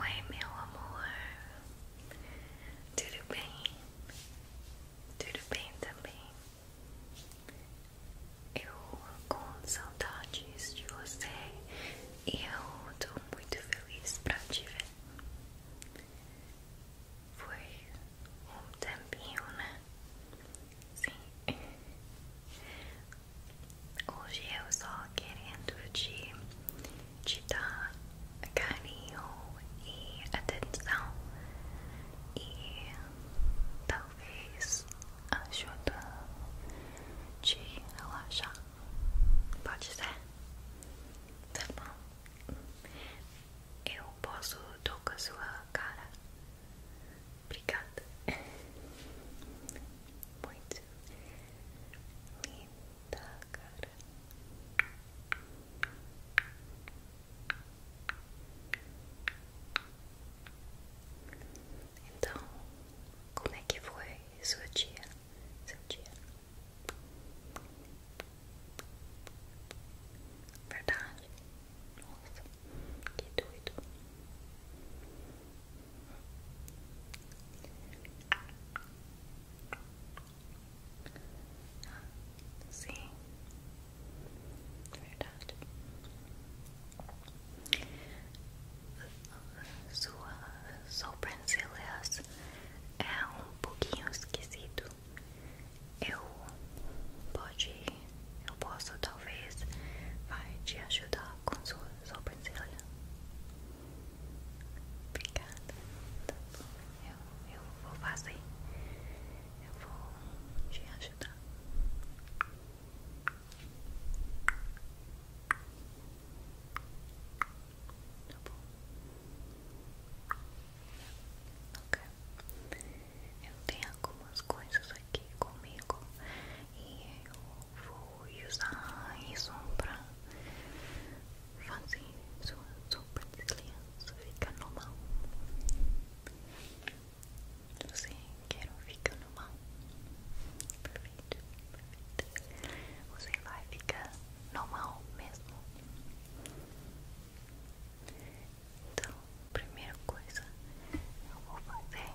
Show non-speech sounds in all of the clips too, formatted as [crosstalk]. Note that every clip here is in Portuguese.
Oi, meu amor, tudo bem? Tudo bem também? Eu com saudades de você e eu tô muito feliz pra te ver. Foi um tempinho, né? Sim. Hoje eu só querendo te, te dar carinho e atenção e talvez ajuda te relaxar. Pode ser? Tá bom. Eu posso tocar sua cara. Obrigada. [laughs] Muito Linda, cara. Então, como é que foi sua dia? Seu dia? Verdade? Nossa, que doido. Sim, verdade. Sua sobrancelhas é um pouquinho esquisito. Eu pode, eu posso talvez vai te ajudar com sua sobrancelha. Obrigada. Tá eu, eu vou fazer. Eu vou te ajudar. Tá bom. Ok. Eu tenho algumas coisas aqui comigo e eu vou usar isso para fazer sua sopa de criança ficar normal. Você quer ficar normal? Perfeito, perfeito. Você vai ficar normal mesmo. Então, primeira coisa eu vou fazer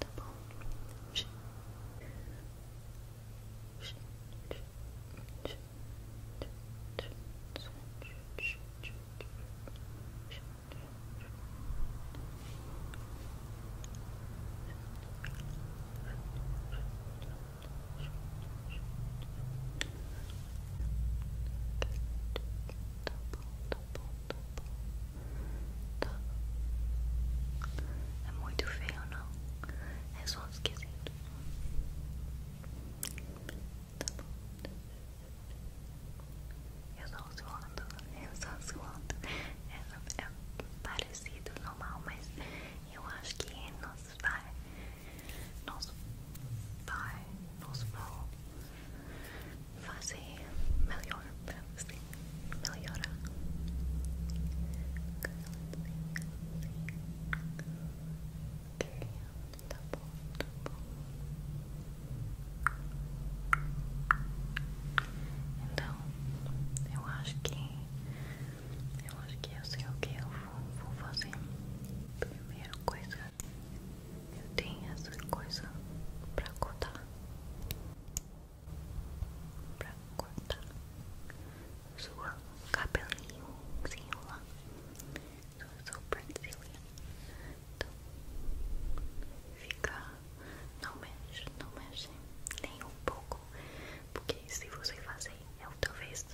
double sh sh sh sh sh Sh Tá bom, tá bom, tá bom. Tá. É muito feio, não? É só esquisito. Tá bom. Eu só zoando, eu só zoando. É, é, parecido, normal, mas eu acho que é, nos vai nosso pai, nos, vou fazer melhor para melhorar. Okay, tá bom, tá bom. Então, eu acho que eu acho que eu é sei assim o que eu vou, vou fazer. Primeira coisa eu tenho essa coisa pra contar. Pra contar. Sua cabelinho se Sua sobrancelha. Então, fica. Não mexe, não mexe nem um pouco. Porque se você fazer, eu talvez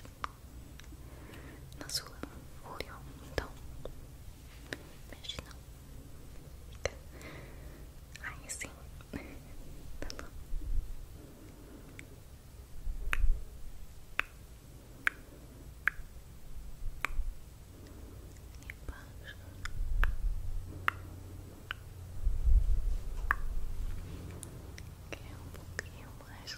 na sua folha. Então, mexe não. aí sim. Tá bom. Embaixo. Que é um pouquinho mais,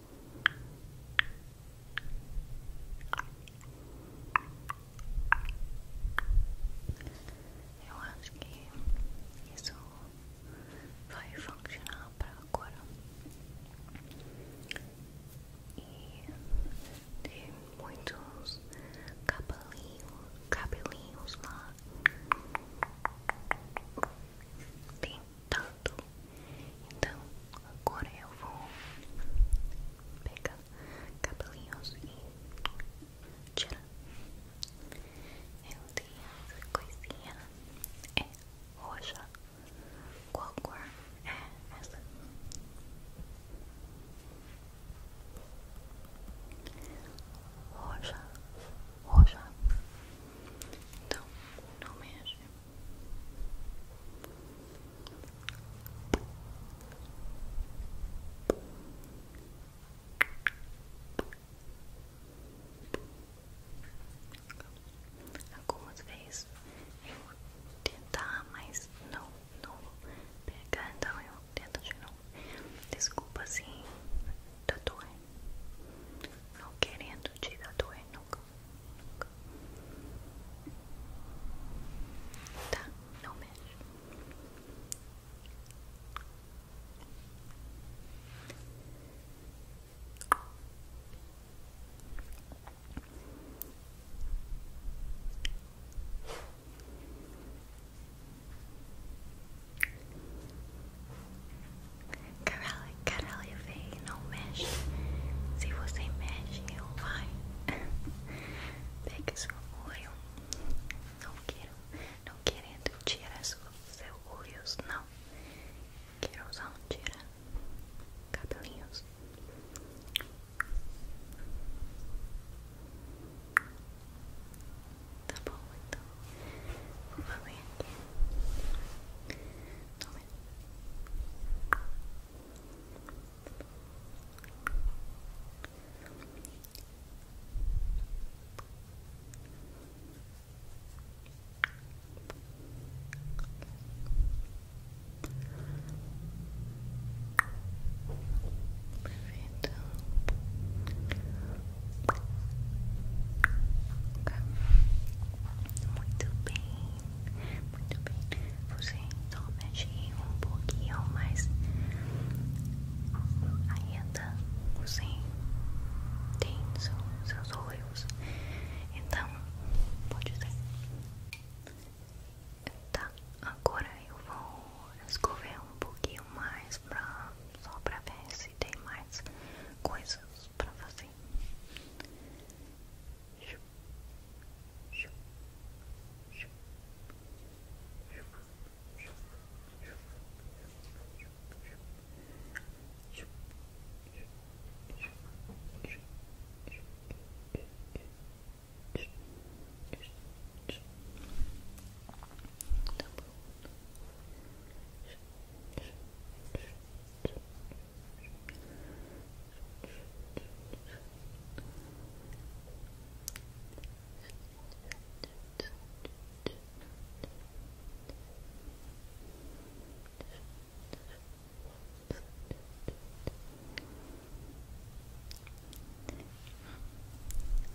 Eu acho que isso vai funcionar para agora. E tem muitos cabelinhos, cabelinhos lá. Tem tanto. Então, agora eu vou pegar cabelinhos e tirar. Eu tenho essa coisinha. É roxa. Qual cor é essa? Roxa, roxa. Então, não mexe. Algumas vezes eu vou tentar, mas não, não vou pegar, então eu tento de novo. Desculpa assim, tatuagem. Não querendo te tatuar nunca. Tá, não mexe. Tá. Caralho, caralho, véi, não mexe. Se você mexe, eu vai. [laughs] Pega seu olho. Não quero, não querendo tirar seus seu olhos, não. Quero usar um tira cabelinhos. Tá bom, então vou fazer aqui. Toma. Perfeito. Tá. Muito bem. Muito bem, você então mexe um pouquinho mais ainda você tem seus, olhos, então pode ser. Tá, agora eu vou escover um pouquinho mais só pra ver se tem mais coisas passo pra você. Tá bom.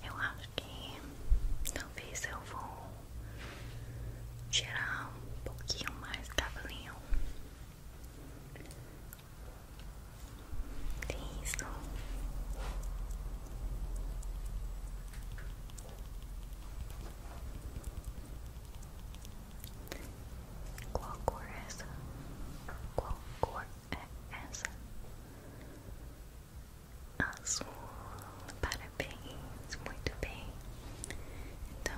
Eu acho que talvez eu vou tirar um pouquinho mais do cabelinho isso. Qual cor é essa? Qual cor é essa? Azul. Parabéns, muito bem. Então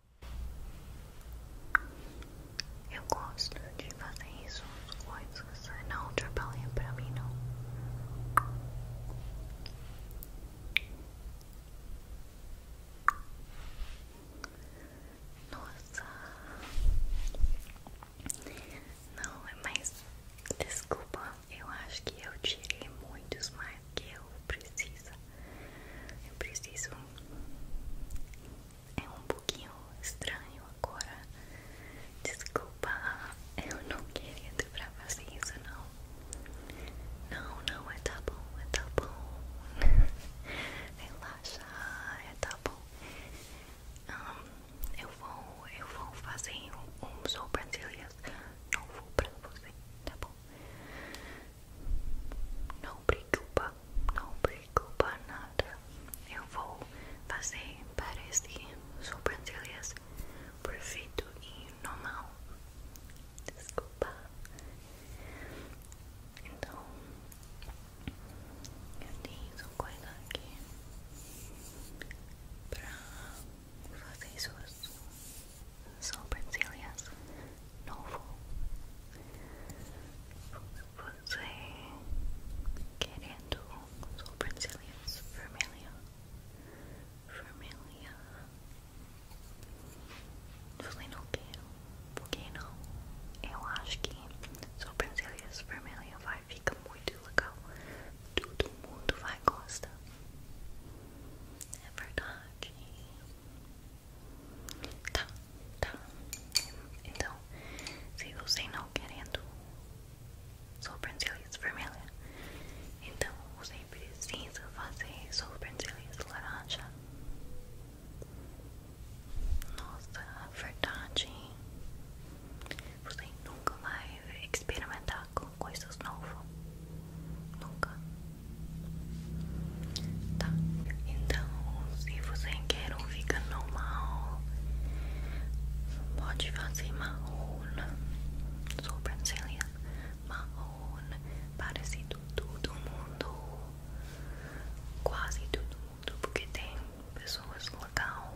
Eu gosto de fazer isso as coisas, não trabalha pra mim não. Nossa, não é mais. Desculpa, eu acho que eu tirei muitos mais do que eu precisa. Eu preciso. É um pouquinho estranho agora. Desculpa, eu não queria te fazer isso não. Não, não, é tá bom, é tá bom. [laughs] Relaxa, é tá bom. eu vou, eu vou fazer um, um sobrancelhas novo pra você, tá bom? Não preocupa, não preocupa nada. Eu vou fazer parece sobrancelhas perfeito e normal. Desculpa. Então, eu tenho uma coisa aqui pra fazer suas sobrancelhas novo. Você querendo sobrancelhas vermelha, vermelha. Você não quer? Por não? Eu acho que sobrancelhas vermelha vai ficar muito legal. Todo mundo vai gostar. É verdade. Tá, tá. Então, se você não querendo sobrancelhas vermelhas, então você precisa fazer sobrancelhas laranja. Nossa, a verdade. Você nunca vai experimentar com coisas novas. Nunca. Tá. Então, se você quer um fica normal, pode fazer marrona, sobrancelha marrona, parecido todo mundo, quase todo mundo, porque tem pessoas local,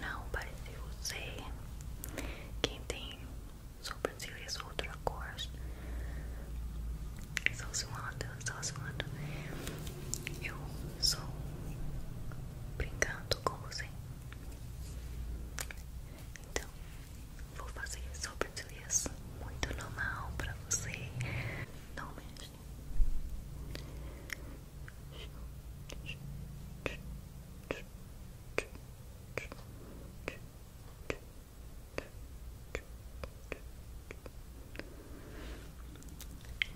não parece você, quem tem sobrancelha mais outra cor. Só zoando, só zoando. Eu sou brincando com você. Então, vou fazer sobrancelhas assim, muito normal para você. Não mexe.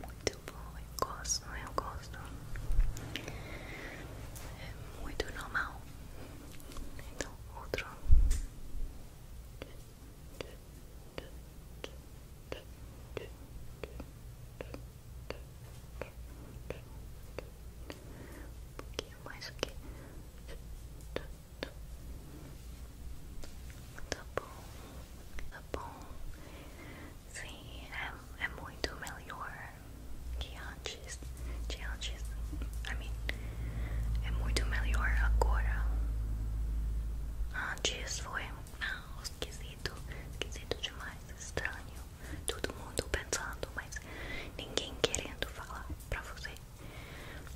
Muito bom, eu gosto, é? eu gosto. É muito normal. Então, outro. Um pouquinho mais aqui. Tá bom, tá bom. Sim, é, é muito melhor que antes. De antes, I mean, é muito melhor agora. Antes foi ah, esquisito, esquisito demais, estranho. Todo mundo pensando, mas ninguém querendo falar pra você.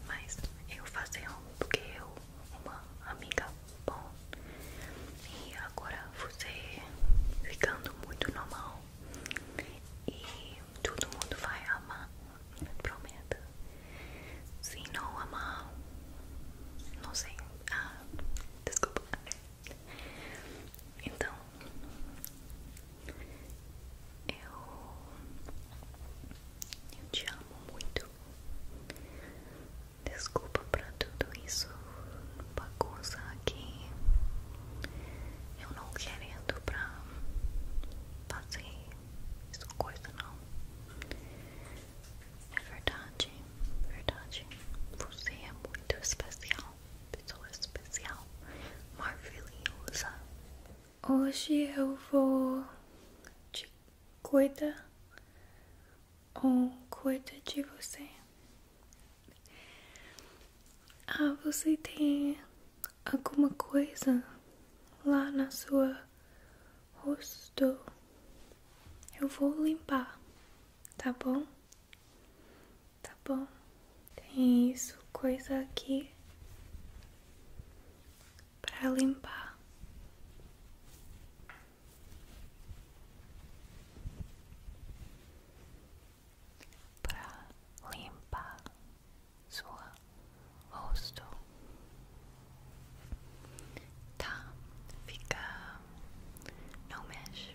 Mas eu faço um porque eu, uma amiga bom. E agora você ficando muito normal. E todo mundo vai amar. Prometo. Se não amar, não sei. Ah, desculpa. Então, eu eu te amo muito. Desculpa pra tudo isso, bagunça aqui. Eu não querendo pra fazer isso coisa não. É verdade, verdade. Você é muito especial, pessoa especial, maravilhosa. Hoje eu vou te cuidar ou cuida de você. Ah, você tem alguma coisa lá na sua rosto? Eu vou limpar, tá bom? Tá bom. Tem isso, coisa aqui para limpar. Para limpar sua rosto, tá? Fica, não mexe.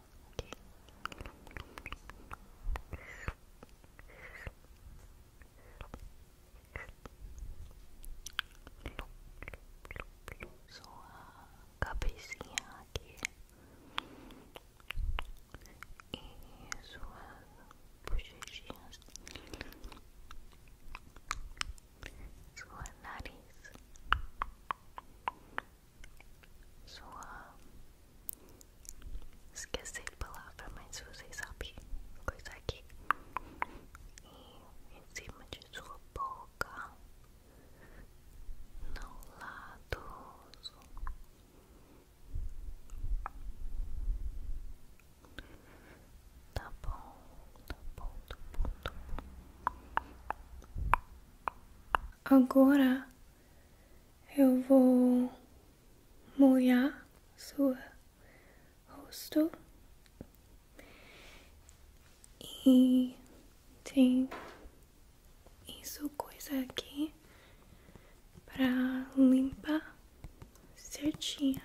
Sua cabecinha aqui e suas bochechinhas, sua nariz, sua. Esqueci a palavra, mas vocês sabem coisa aqui. em cima de sua boca, no lado. Tá bom, tá bom, tá bom, tá bom. Agora eu vou molhar seu rosto e tem isso aqui pra limpar certinha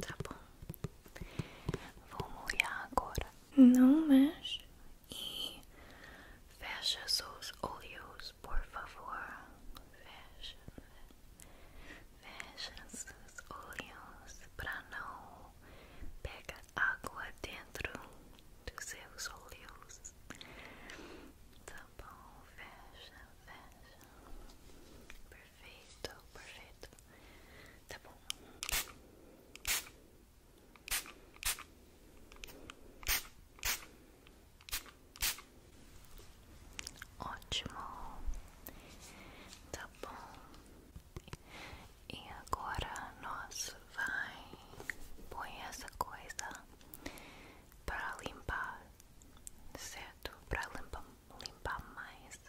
Tá bom. Vou molhar agora. Não mexe e fecha seus olhos, por favor. Fecha, fecha seus olhos para não pegar água dentro dos seus olhos. Tá bom, fecha, fecha. Perfeito, perfeito. Tá bom. Ótimo. Tá bom. E agora nós vai pôr essa coisa para limpar, certo? Para limpar, limpar mais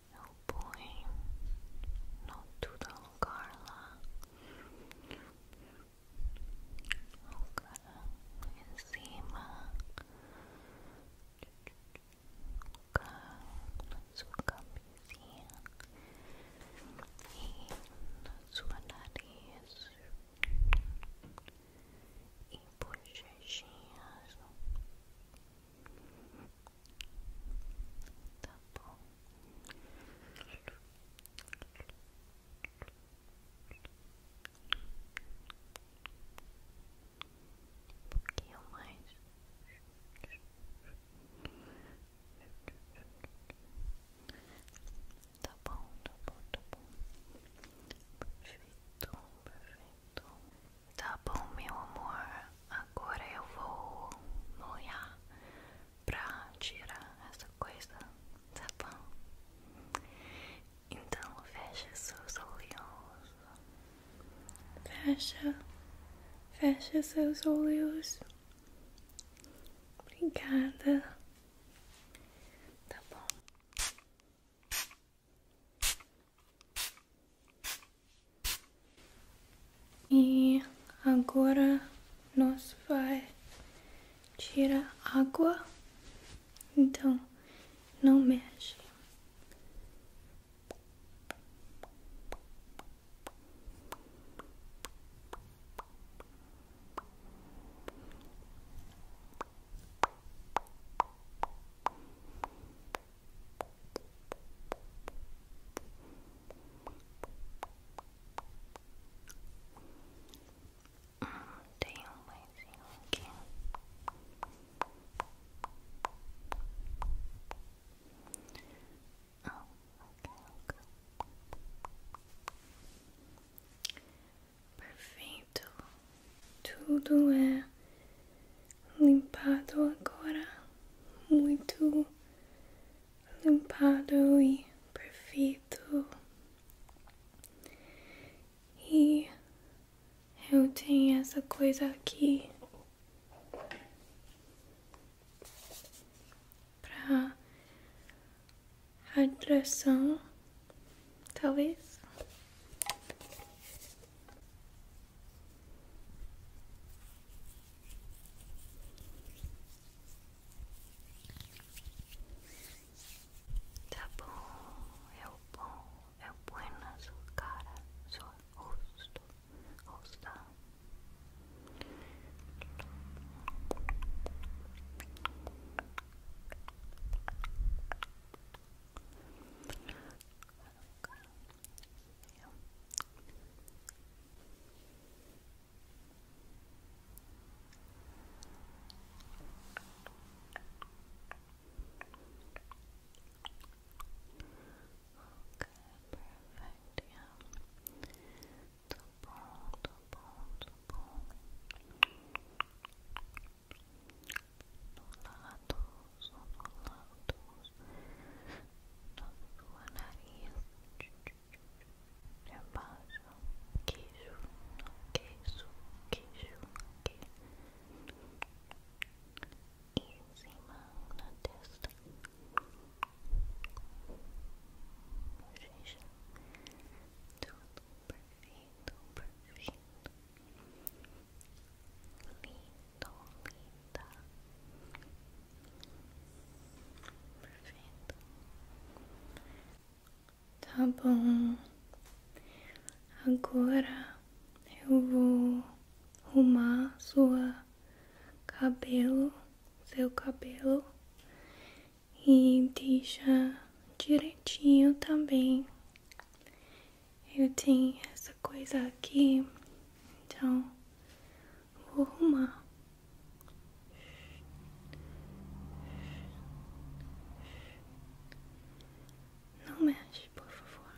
o Meu põe no o lugar lá. Ok, em cima. Ok, na sua camisinha. E na sua nariz. E bochechinhas. Tá bom. Um pouquinho mais. Tá bom, tá bom, tá bom. Perfeito, perfeito. Tá bom, meu amor. Agora eu vou molhar pra tirar essa coisa, tá bom? Então fecha seus olhos. Fecha, fecha seus olhos. Obrigada. Tá bom. E agora nós vai tirar água. Então, não mexe. Hum, tem um aqui. Ah, Perfeito. Tudo é limpado agora, muito limpado e perfeito. E eu tenho essa coisa aqui para hidratação, talvez. Tá bom, é o bom, é o bueno, sua cara, seu rosto, rosto. Okay. Yeah. perfect, yeah. Double, double, double. ondulados, ondulados na sua nariz, debaixo, queijo, queijo, queijo, queijo, e em cima na testa, bochecha, tudo perfeito, perfeito linda linda, perfeito. Tá bom. Agora eu vou arrumar seu cabelo, seu cabelo e deixa direitinho também eu tenho essa coisa aqui, então vou arrumar. Não mexe, por favor.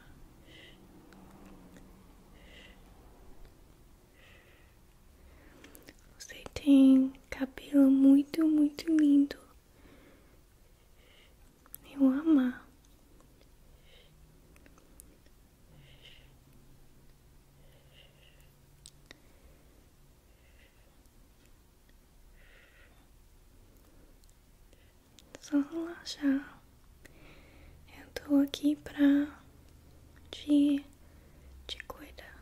Você tem cabelo muito, muito lindo. Eu amar. Só relaxar. Eu tô aqui pra te, cuidar.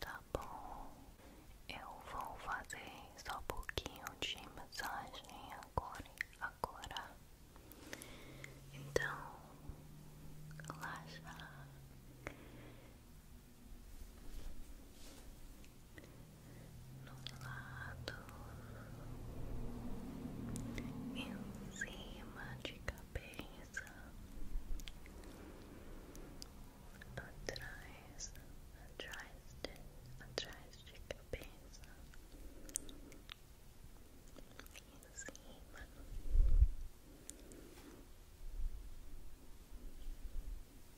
Tá bom, eu vou fazer só um pouquinho de massagem agora, Então, relaxa no lado, em cima de cabeça, atrás, atrás de, atrás de cabeça, em cima.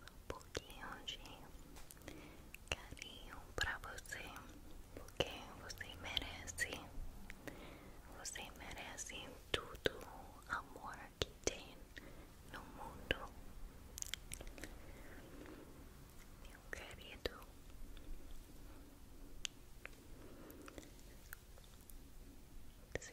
um pouquinho de carinho pra você, porque você merece, você merece tudo o amor que tem no mundo, meu querido. Sim.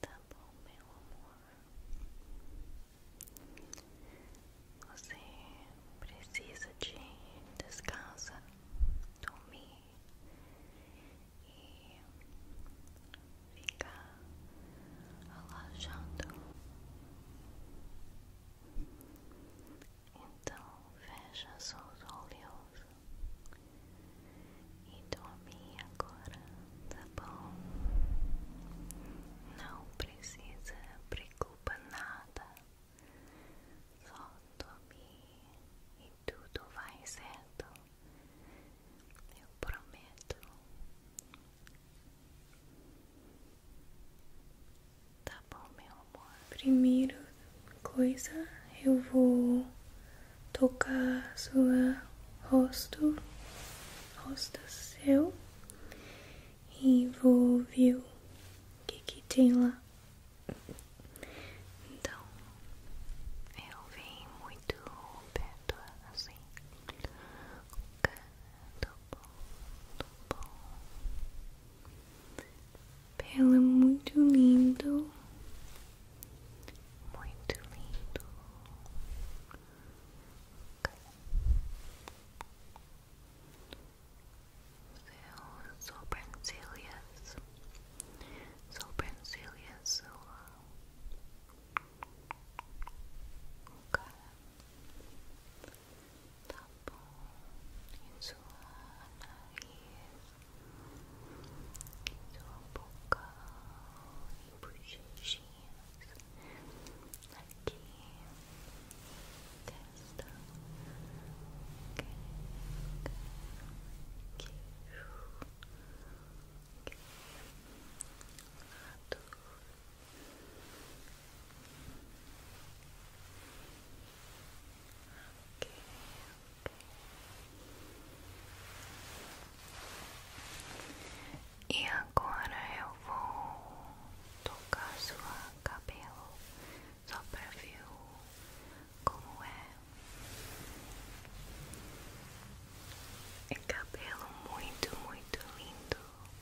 Tá bom, meu amor. Você precisa de descansa, dormir e ficar alojando. Então fecha os olhos e dorme agora, tá bom? Não precisa preocupar nada, só dormir e tudo vai certo. Eu prometo. Tá bom, meu amor. Primeiro coisa, eu vou tocar sua rosto, rosto seu, e vou ver o que, que tem lá. Então, eu venho muito bem reto, assim. Canto bom, bom. Pela muito lindo. Muito lindo. Seu sobrancelhas, sobrancelhas sua. Okay. Tá bom, em sua nariz, em sua boca, em bochechinhas, aqui, testa, que, queijo, lado, e agora eu vou tocar sua cabelo só para ver como é. É cabelo muito, muito lindo.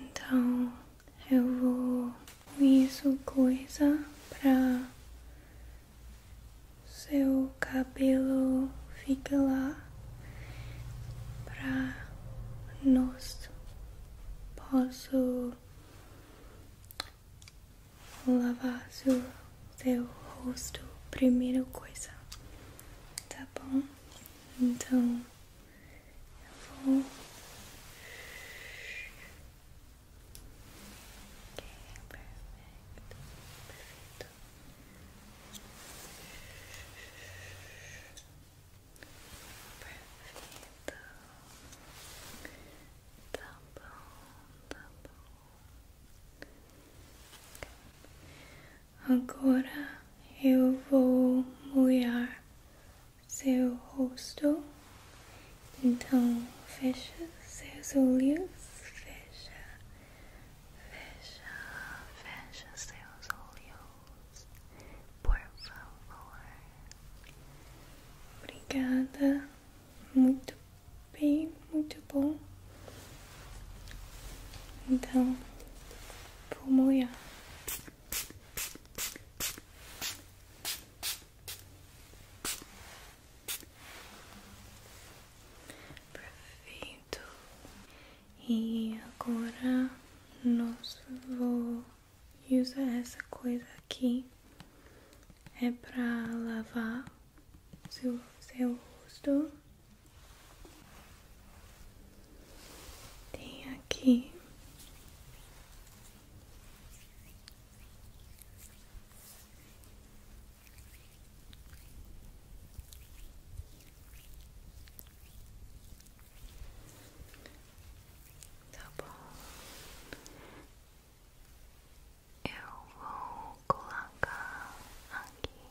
Então eu vou com isso coisa pra seu cabelo ficar lá pra nós posso lavar seu, seu rosto primeira coisa, tá bom? Então eu vou perfeito, perfeito. Perfeito. Tá bom, tá Agora eu vou molhar seu rosto. Então fecha seus olhos, fecha, fecha, fecha seus olhos, por favor. Obrigada, muito bem, muito bom. Então Pulmuya. Perfeito. E agora nós vou usar essa coisa aqui é para lavar seu rosto. Tem aqui tá bom. Eu vou colocar aqui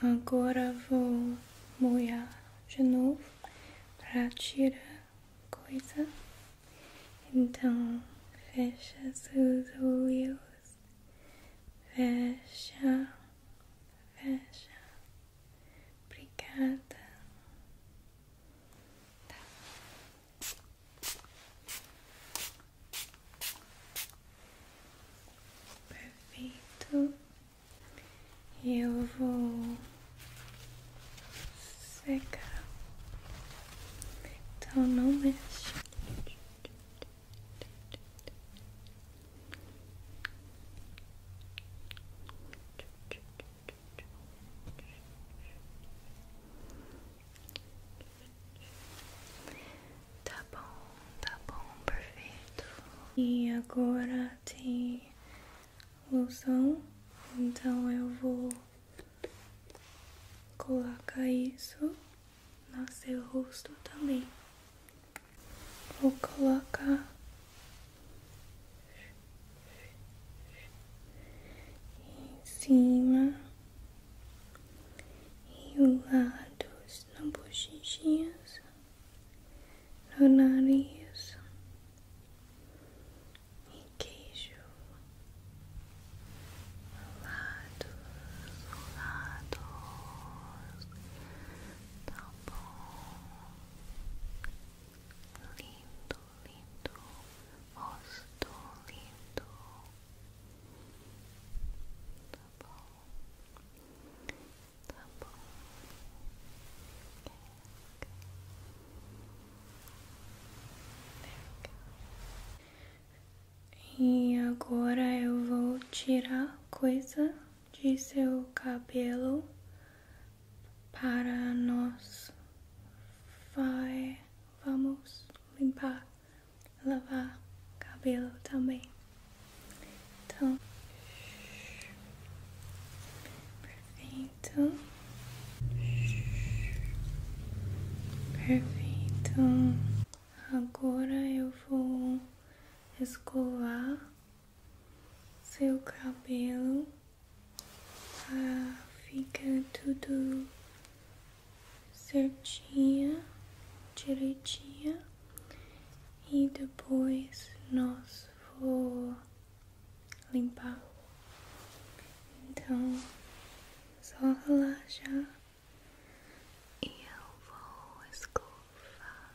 Agora vou molhar de novo para tirar coisa. Então, fecha seus olhos. Fecha. Fecha. Obrigada. Tá. Perfeito. eu vou secar. Então não mexe. Tá bom, tá bom, perfeito. E agora tem loção, então eu vou colocar isso no seu rosto também. Vou colocar em cima e os lados na bochechinha, no nariz e queijo os lados, os lados, tá bom, lindo, lindo, rosto lindo. Tá e agora eu vou tirar coisa de seu cabelo para nós vai vamos limpar lavar cabelo também. Então, perfeito, perfeito. Agora eu vou escovar seu cabelo para ah, fica tudo certinha, direitinha e depois nós vou limpar. Então, só relaxar e eu vou escovar.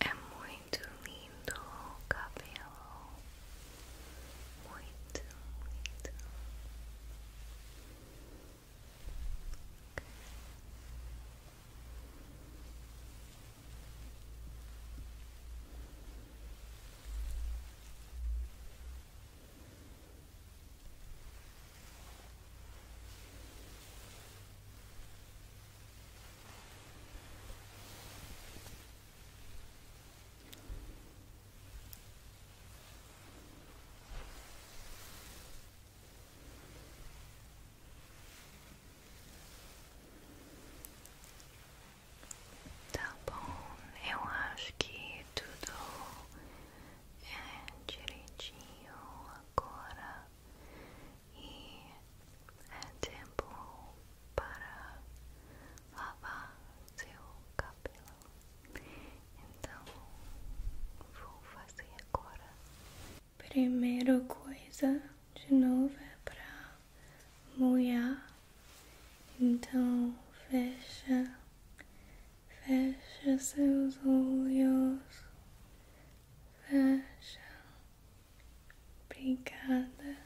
É muito lindo o cabelo, muito, muito. Tá bom, eu acho que tudo é direitinho agora e é tempo para lavar seu cabelo. Então vou fazer agora. Primeira coisa de novo é para molhar. Então fecha Fecha seus olhos. Fecha. Obrigada.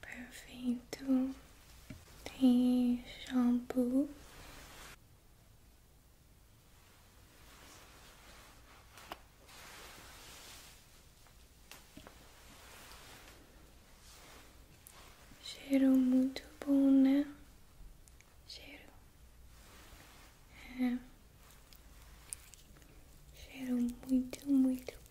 Perfeito. Tem shampoo. Cheiro muito bom, né? Cheiro. É. Cheiro muito, muito bom.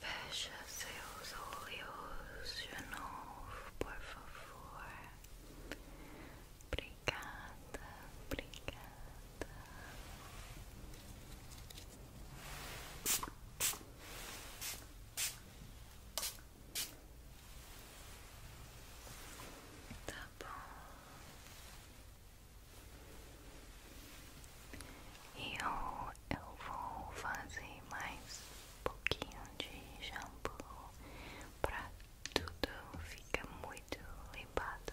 Fecha seus olhos de novo, por favor. Obrigada, obrigada. Tá bom. E eu, eu vou fazer mais um pouquinho de shampoo pra tudo ficar muito limpado.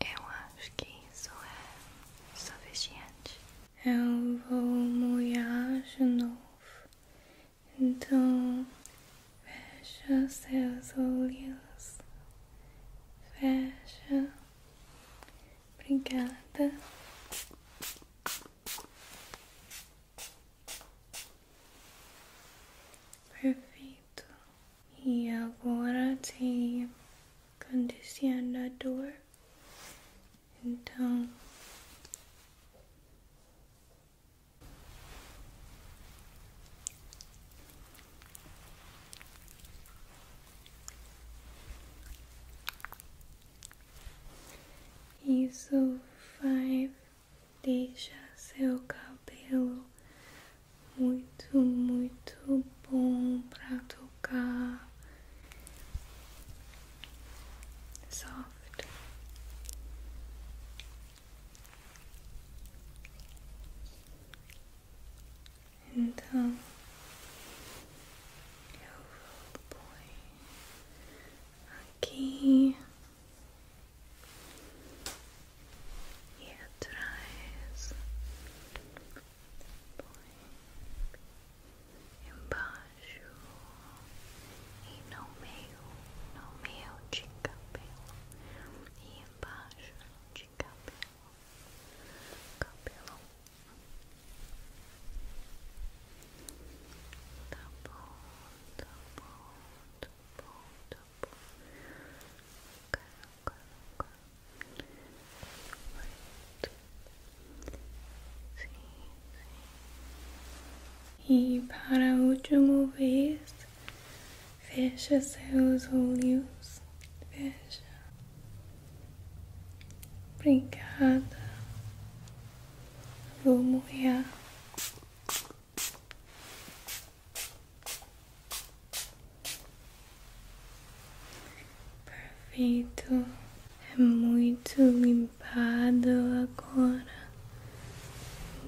Eu acho que isso é suficiente. Eu vou molhar de novo. Então, fecha seus olhos. Fecha. Obrigada. Perfeito. E agora tem condicionador. Então Isso vai deixar seu cabelo muito, muito bom pra tocar soft. Então eu vou pôr aqui e atrás, embaixo e no meio, no meio de cabelo e embaixo de cabelo, cabelo. Tá bom, tá tá tá e para a última vez, fecha seus olhos. Fecha. Obrigada. Vou morrer. Perfeito, é muito limpado agora,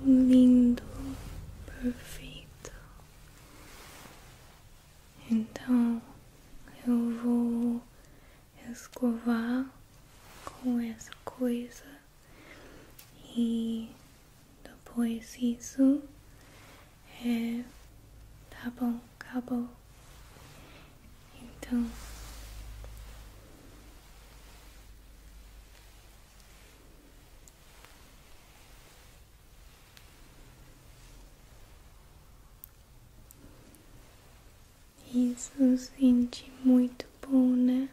lindo, perfeito. Então eu vou escovar com essa coisa e depois isso é. Tá bom, acabou. Então. Isso sente muito bom, né?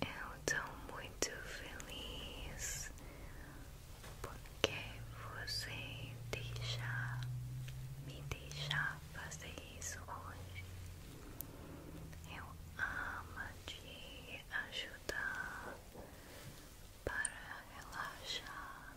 Eu estou muito feliz porque você deixa me deixa fazer isso hoje. Eu amo te ajudar para relaxar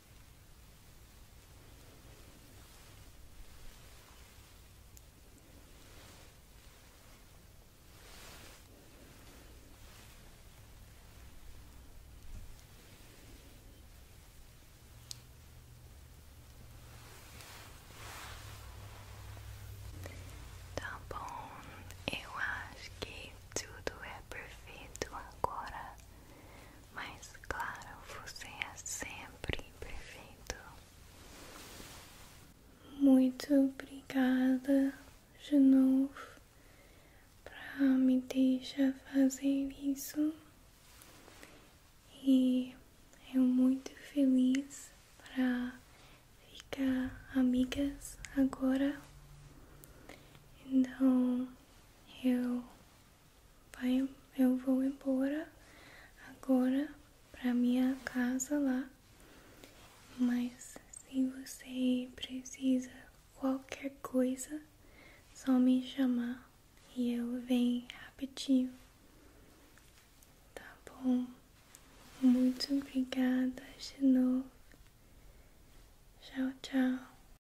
Tá bom, eu acho que tudo é perfeito agora. Mas claro, você é sempre perfeito. Muito obrigada de novo para me deixar fazer isso. E eu muito feliz para ficar amigas agora. Então eu vai, eu vou embora agora para minha casa lá. Mas se você precisa qualquer coisa, só me chamar e eu venho rapidinho. Tá bom? Muito obrigada de novo. Tchau, tchau.